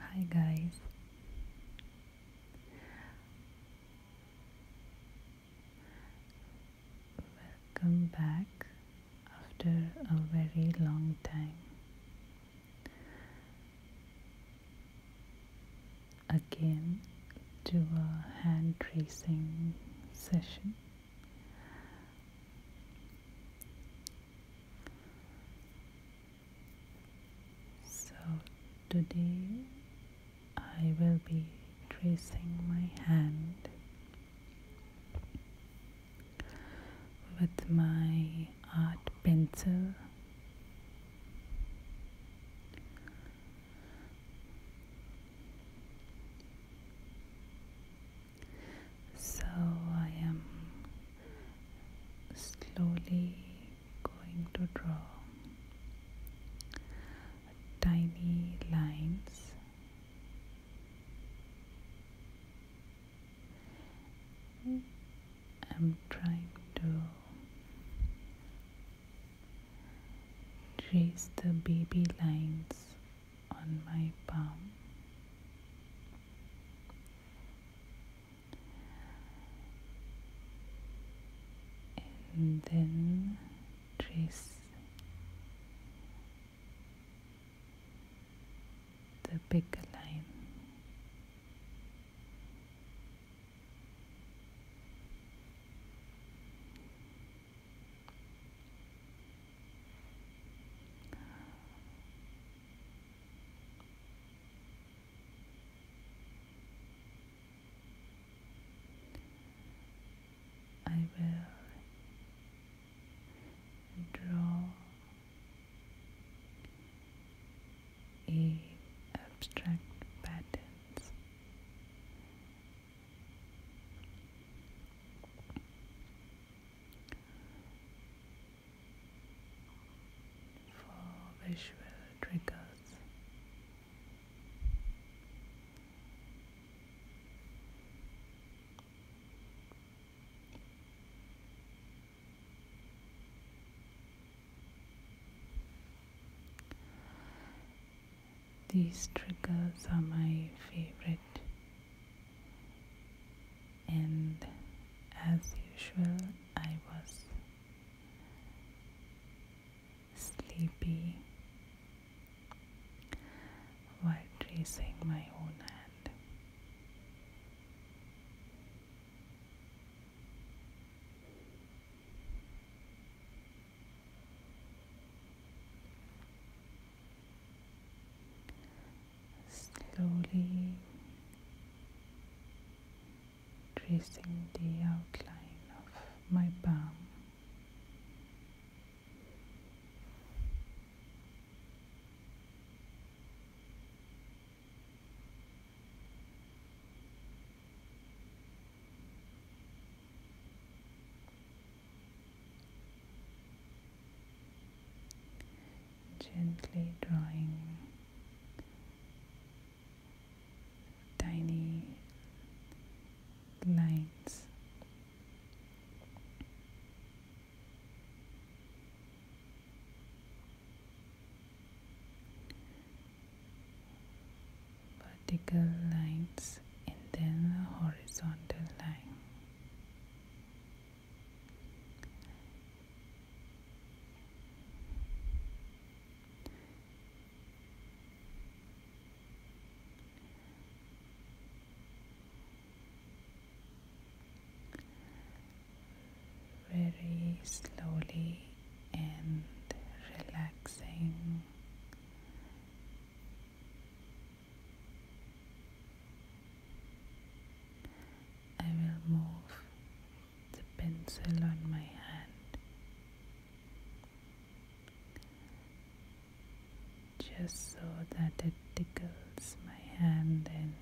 Hi guys. Welcome back after a very long time. Again to a hand tracing session. So today I will be tracing my hand with my art pencil. So I am slowly going to draw tiny lines I'm trying to trace the baby lines on my palm. And then trace the bigger line. I will draw a abstract patterns for visual triggers. These triggers are my favorite, and as usual, I was sleepy while tracing my own hand slowly tracing the outline of my palm. Gently drawing tiny lines vertical lines and then a horizontal line. Very slowly and relaxing I will move the pencil on my hand just so that it tickles my hand and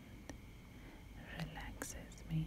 relaxes me.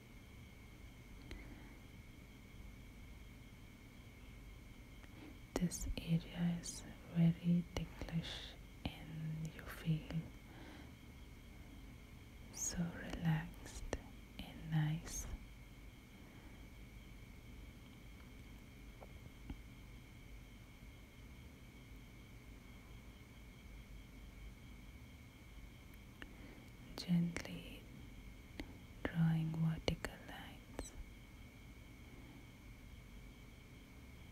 This area is very ticklish and you feel so relaxed and nice gently drawing vertical lines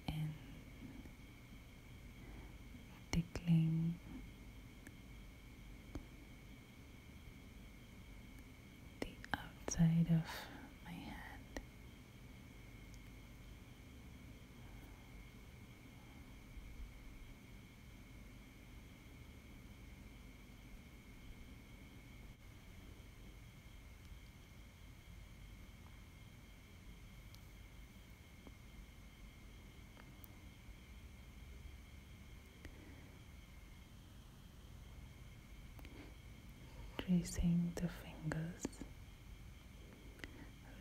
and tickling the outside of my head tracing the fingers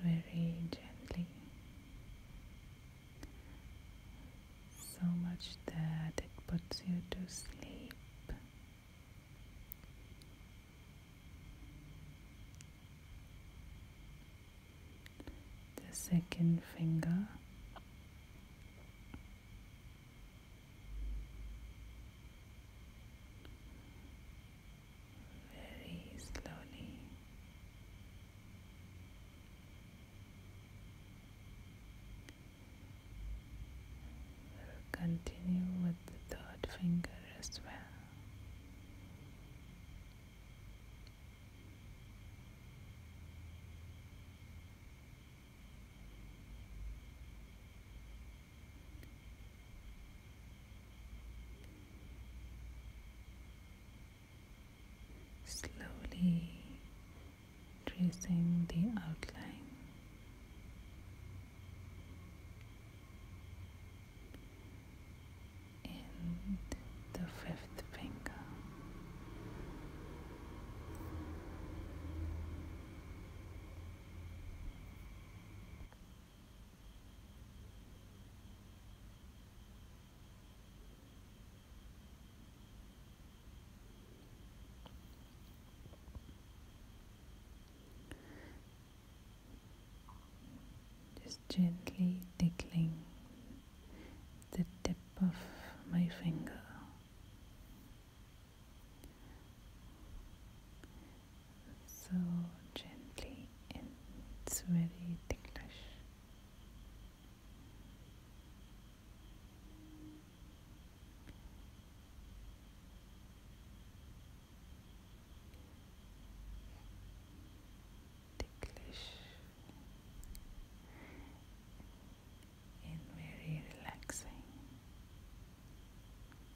very gently. So much that it puts you to sleep. The second finger very slowly. continue with the third finger as well slowly tracing the outline in the fifth finger. Just gently tickling the tip of my finger so gently and it's very ticklish. Ticklish and very relaxing.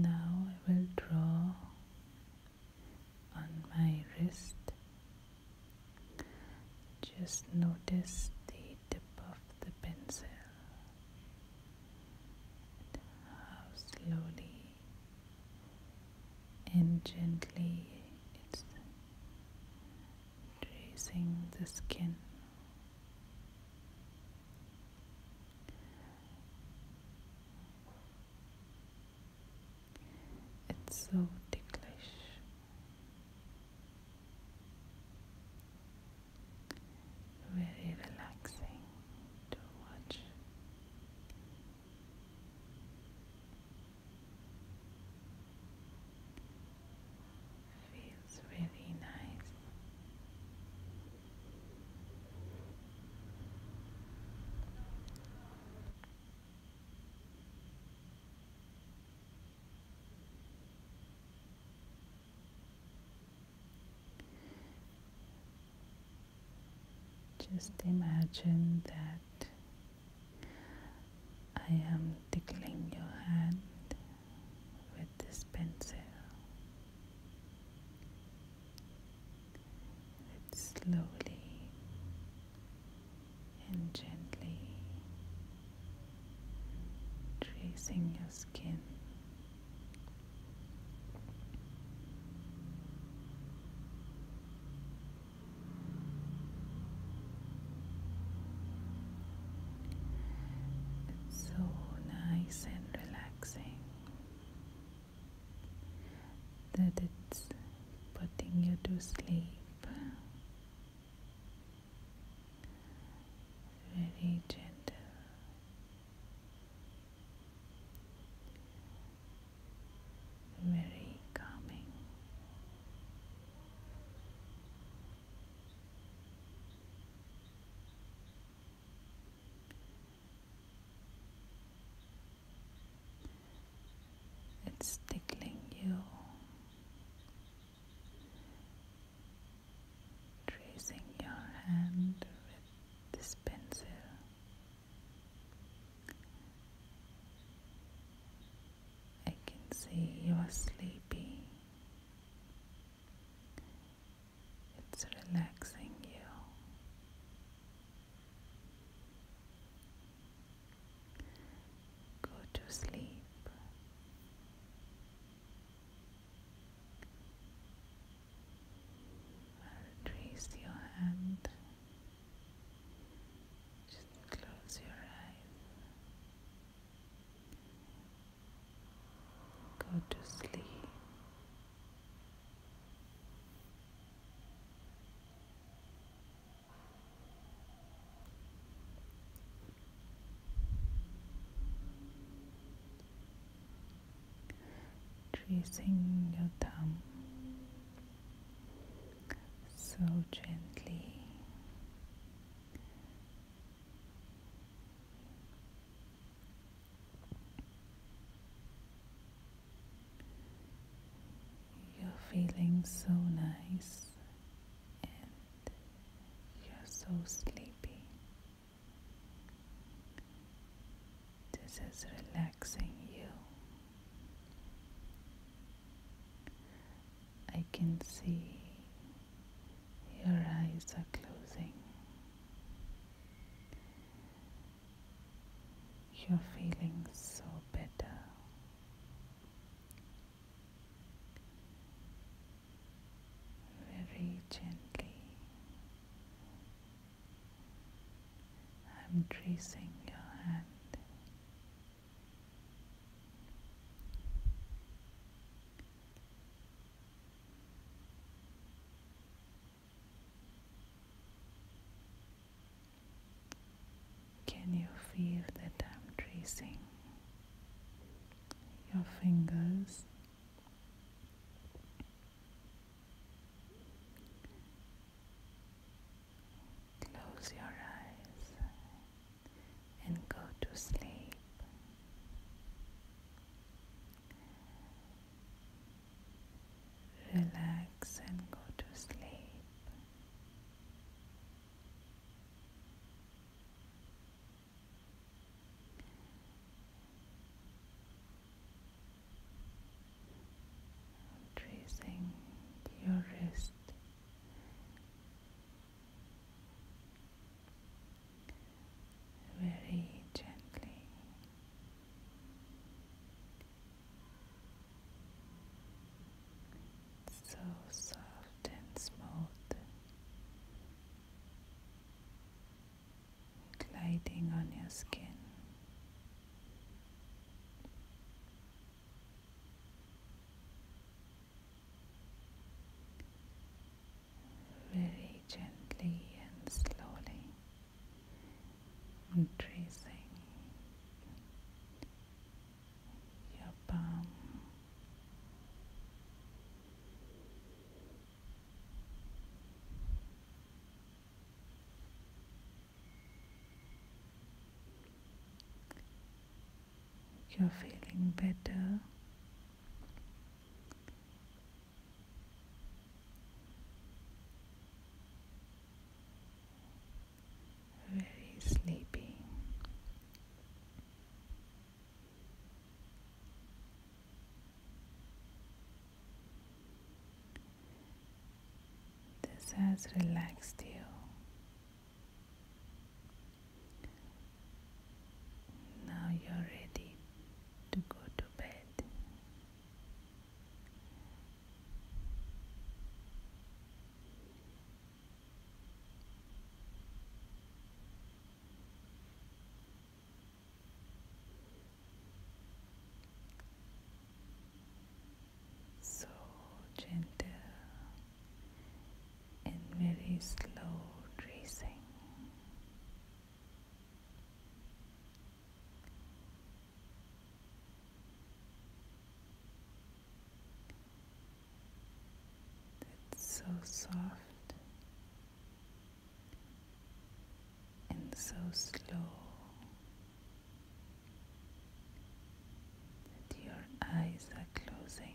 Now I will draw on my wrist just notice the tip of the pencil and how slowly and gently it's tracing the skin. It's so ticklish. Very relaxing to watch. Feels really nice. Just imagine that I am tickling your hand with this pencil. slowly and gently tracing your skin. so nice and relaxing that it's putting you to sleep very gentle. Very calming it's tickling you, tracing your hand with this pencil. I can see you are sleepy. It's relaxing you. Go to sleep. trace your hand. Just close your eyes. Go to sleep tracing your thumb so gently you're feeling so nice and you're so sleepy. This is relaxing you. I can see your eyes are closing. You're feeling so better. Very gently, I'm tracing your hand. Can you feel that I'm tracing your fingers? Close your eyes and go to sleep. Relax and go to sleep. Tracing your wrist. Very gently, so soft and smooth, gliding on your skin. Very gently and slowly and tracing your palm. You're feeling better very sleepy. This has relaxed you. Now you're ready to go to bed. So gentle and very slow tracing. It's so soft and so slow that your eyes are closing.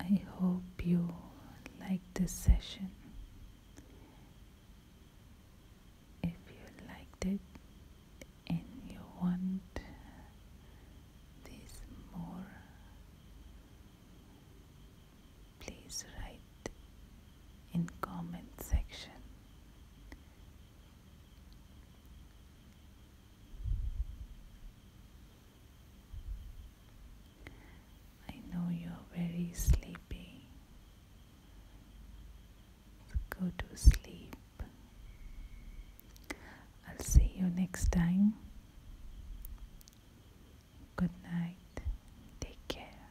I hope you like this session. If you liked it and you want this more, please write in comment section. I know you're very sleepy. go to sleep. I'll see you next time. Good night. Take care.